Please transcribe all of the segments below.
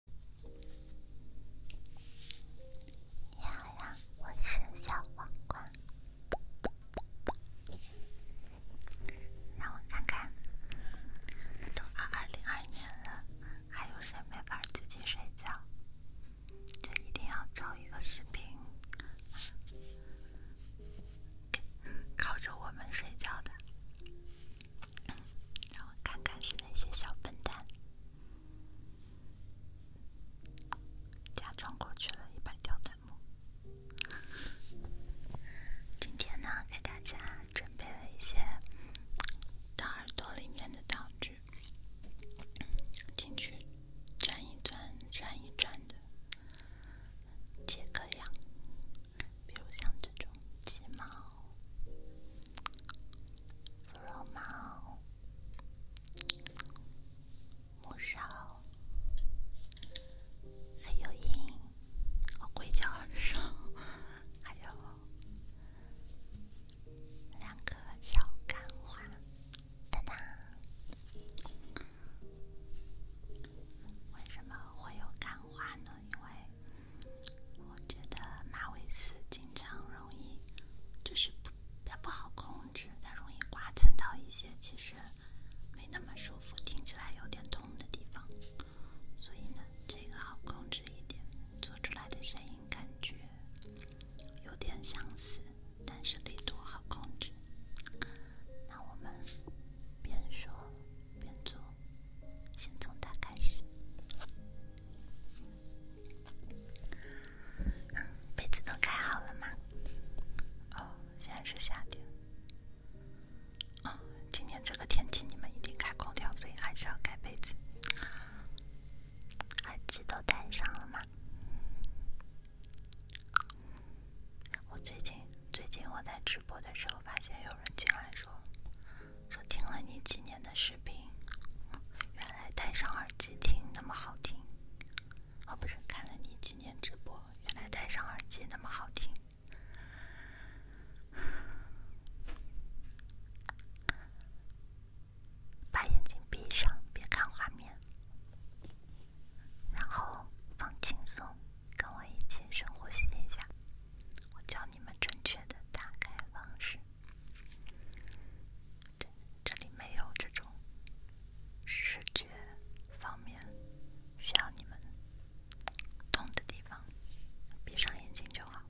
你好呀，我是小皇冠。让我看看，都二二零二年了，还有谁没法自己睡觉？就一定要找一个视频靠着我们睡觉的。让我看看是哪些小笨蛋，假装过去了一百条弹幕。今天呢，给大家准备了一些大耳朵里面的道具，进去钻一钻、钻一钻的解个痒，比如像这种鸡毛。芙蓉花、木勺，还有银，我柜角很还有两个小干花，哒哒。为什么会有干花呢？因为。我觉得马尾丝经常容易，就是比不好控制，它容易刮蹭到一些其实没那么舒服、听起来有点痛的地方。所以呢，这个好控制一点，做出来的声音感觉有点相似，但是力度好控制。那我们边说边做，先从它开始。被子都盖好了吗？哦，现在是夏天。哦，今天这个天气你们一定开空调，所以还是要盖被子。耳机都戴上了吗？我最近最近我在直播的时候发现有人进来说。说听了你几年的视频，原来戴上耳机听那么好听。哦，不是，看了你几年直播，原来戴上耳机那么好听。把眼睛闭上，别看画面，然后放轻松，跟我一起深呼吸一下。我教你们正确的打开方式。这里没有这种视觉方面需要你们动的地方，闭上眼睛就好，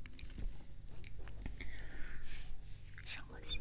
深呼吸。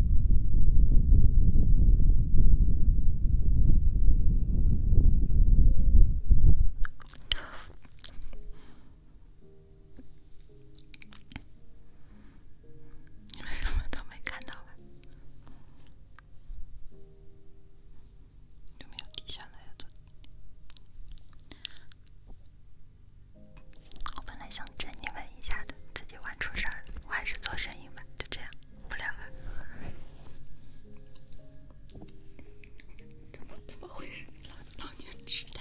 你们什么都没看到吧？有没有底下的？我本来想整你们一下的，自己玩出事儿了，我还是做生意吧，就这样，不聊了。怎么怎么会老老年痴呆？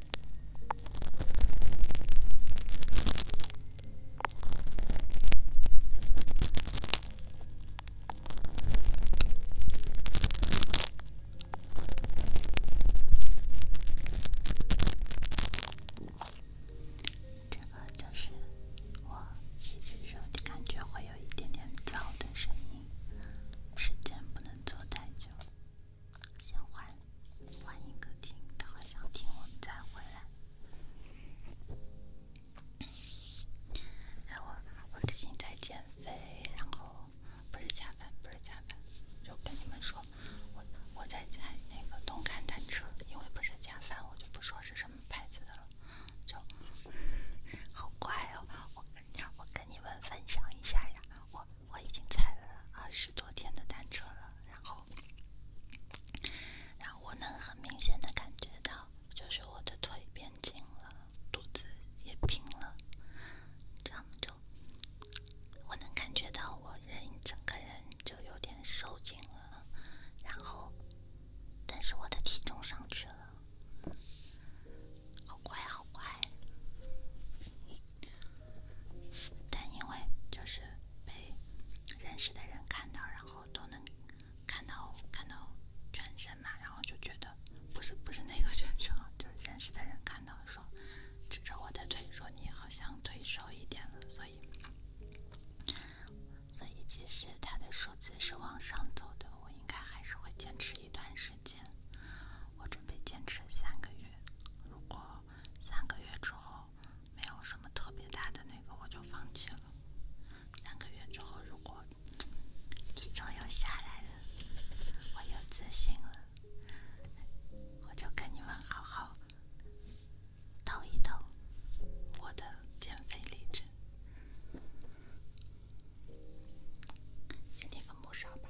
这个就是我一只手的感觉会有一点点噪的声音，时间不能坐太久。先换换一个听，然后想听我们再回来。哎，我我最近在减肥，然后不是加班，不是加班，就跟你们说，我我在在那个动感单车，因为不是加班，我就不说是什么牌子的了，就好乖哦，我跟你，我跟你们分享一下呀，我。我已经踩了二十多天的单车了，然后，然后我能很明显的感觉到，就是我的腿变紧了，肚子也平了，这样就，我能感觉到我人整个人就有点收紧了，然后，但是我的体重上去了，好乖好乖。但因为就是被认识的人看到，然后都能看到看到全身嘛，然后就觉得不是不是那个全身就是认识的人看到说，指着我的腿说你好像腿瘦一点了，所以所以即使他的数字是往上走的，我应该还是会坚持一段时间。我准备坚持三个月，如果。三个月之后，没有什么特别大的那个，我就放弃了。三个月之后，如果体重又下来了，我又自信了，我就跟你们好好抖一抖我的减肥历程。点个木勺吧。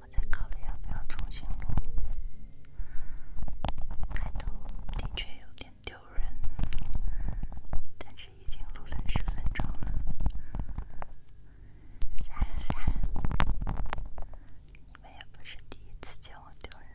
我在考虑要不要重新录。开头的确有点丢人，但是已经录了十分钟了。吓人吓人！你们也不是第一次见我丢人。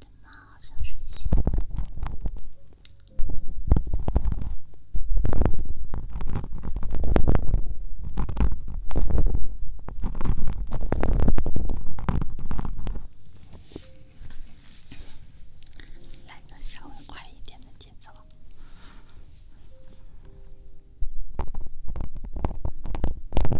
等妈，好像睡醒了。来个稍微快一点的节奏。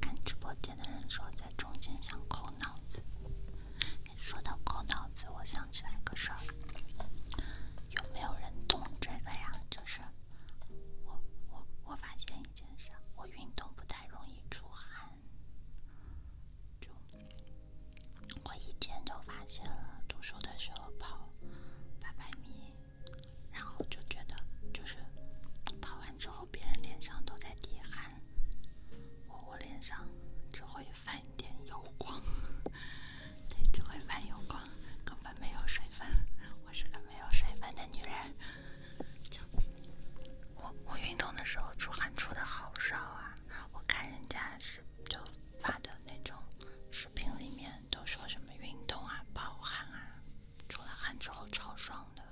看直播间的人说，在中间想扣脑子。说到扣脑子，我想起来个事儿。有没有人懂这个呀？就是我我我发现一件事，我运动不太容易出汗。就我以前就发现了，读书的时候跑八百米，然后就觉得就是跑完之后别人脸上都在滴汗，我我脸上只会泛。点油光，对，只会泛油光，根本没有水分。我是个没有水分的女人。我我运动的时候出汗出的好少啊，我看人家是就发的那种视频里面都说什么运动啊，暴汗啊，出了汗之后超爽的。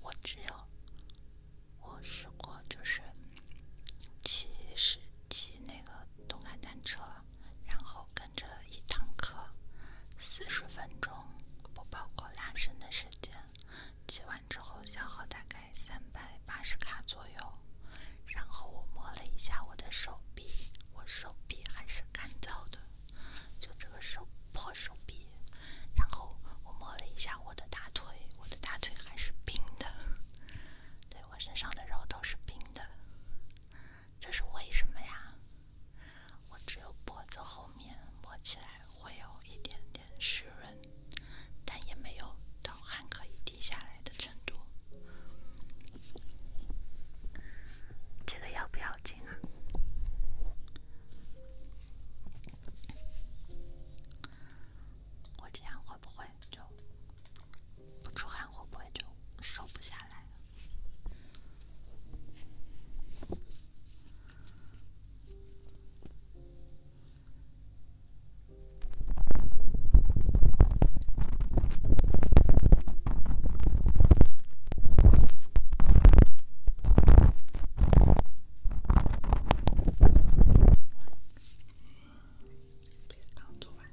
我只有我试过就是。骑十骑那个动感单车，然后跟着一堂课，四十分钟不包括拉伸的时间。骑完之后消耗大概三百八十卡左右。然后我摸了一下我的手臂，我手臂还是干燥的，就这个手破手臂。然后我摸了一下我的大腿，我的大腿还是冰的。对。我身上的肉都是冰的，这是为什么呀？我只有脖子后面摸起来会有一点点湿润，但也没有到汗可以滴下来的程度。这个要不要紧啊？我这样会不会就？不出汗会不会就瘦不下来？别刚做完。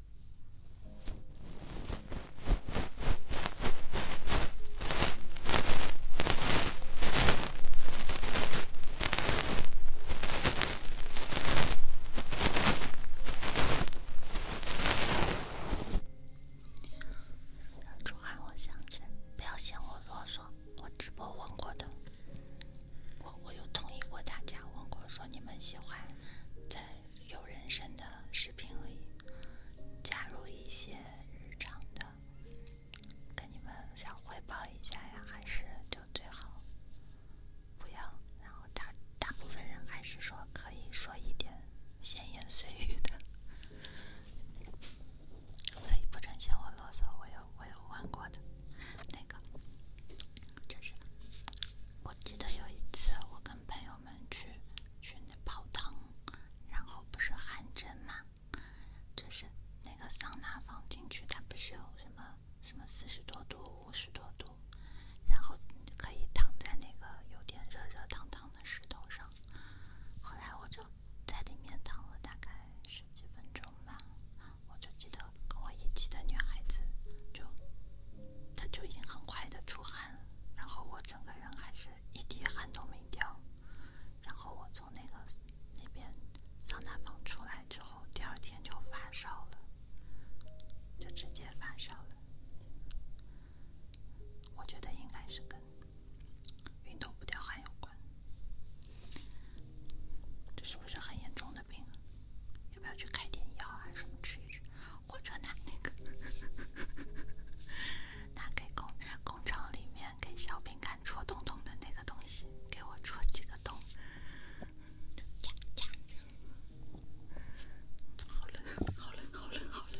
中我，想起来，不要嫌我啰嗦。我直播问过的，我我有同意过大家问过，说你们喜欢在。有人生的视频里加入一些日常的，跟你们想汇报一下呀，还是就最好不要。然后大大部分人还是说可以说一点闲言碎语的，所以不准嫌我啰嗦，我有我有问过的那个，就是我记得有一次我跟朋友。我们去去那泡汤，然后不是汗蒸嘛，就是那个桑拿房进去，它不是有什么什么四十多度、五十多度，然后可以躺在那个有点热热烫烫的石头上。后来我就在里面躺了大概十几分钟吧，我就记得跟我一起的女孩子就。他就已经很快的出汗了，然后我整个人还是一滴汗都没掉，然后我从那个那边桑拿房出来之后，第二天就发烧了，就直接发烧了。我觉得应该是跟运动不掉汗有关，这是不是很严重的病？啊？要不要去开点药啊什么吃一吃？火车那那个，拿给工工厂里面给小饼干戳洞洞的那个东西，给我戳几个洞。好冷，好冷，好冷，好冷。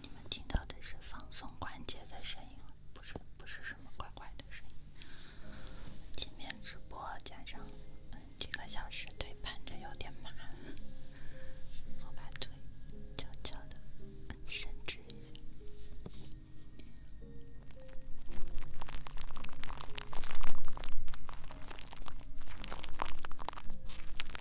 你们听到的是放松关节的声音，不是不是什么怪怪的声音。今天直播加上几个小时腿盘着有点麻，我把腿悄悄地伸直一下。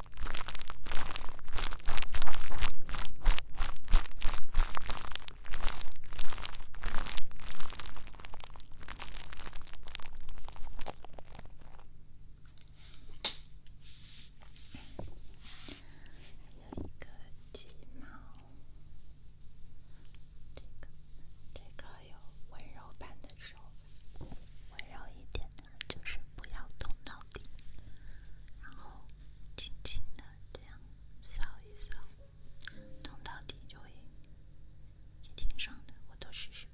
还有一个鸡毛，这个这个有温柔版的手法，温柔一点。就是不要捅到底，然后轻轻的这样扫一扫，捅到底就会也挺爽的。我都试试吧。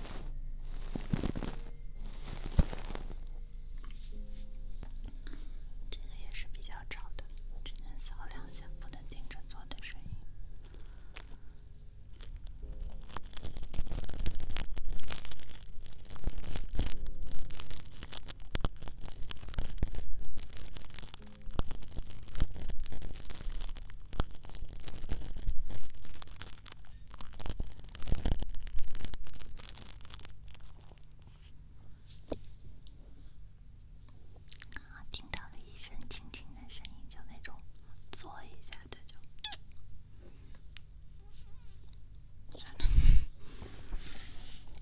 这个也是比较吵的，只能扫两下，不能盯着做的声音。啊，听到了一声轻轻的声音，就那种，做一下，这就，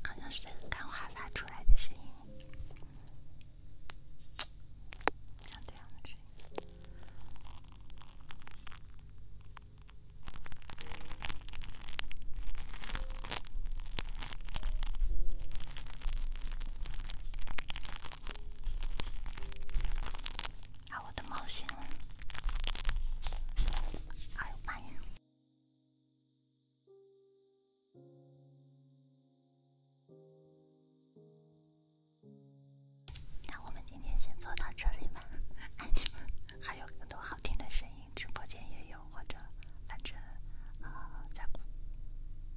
好像是那个发出来的声音，像这样子。啊，我的毛线。哎呦妈呀！那我们今天先做到这里吧，还有更多好听的声音，直播间也有，或者反正呃，在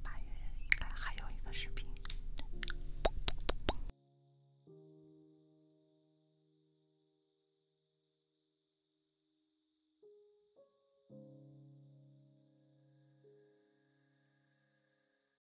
八月应该还有一个视频。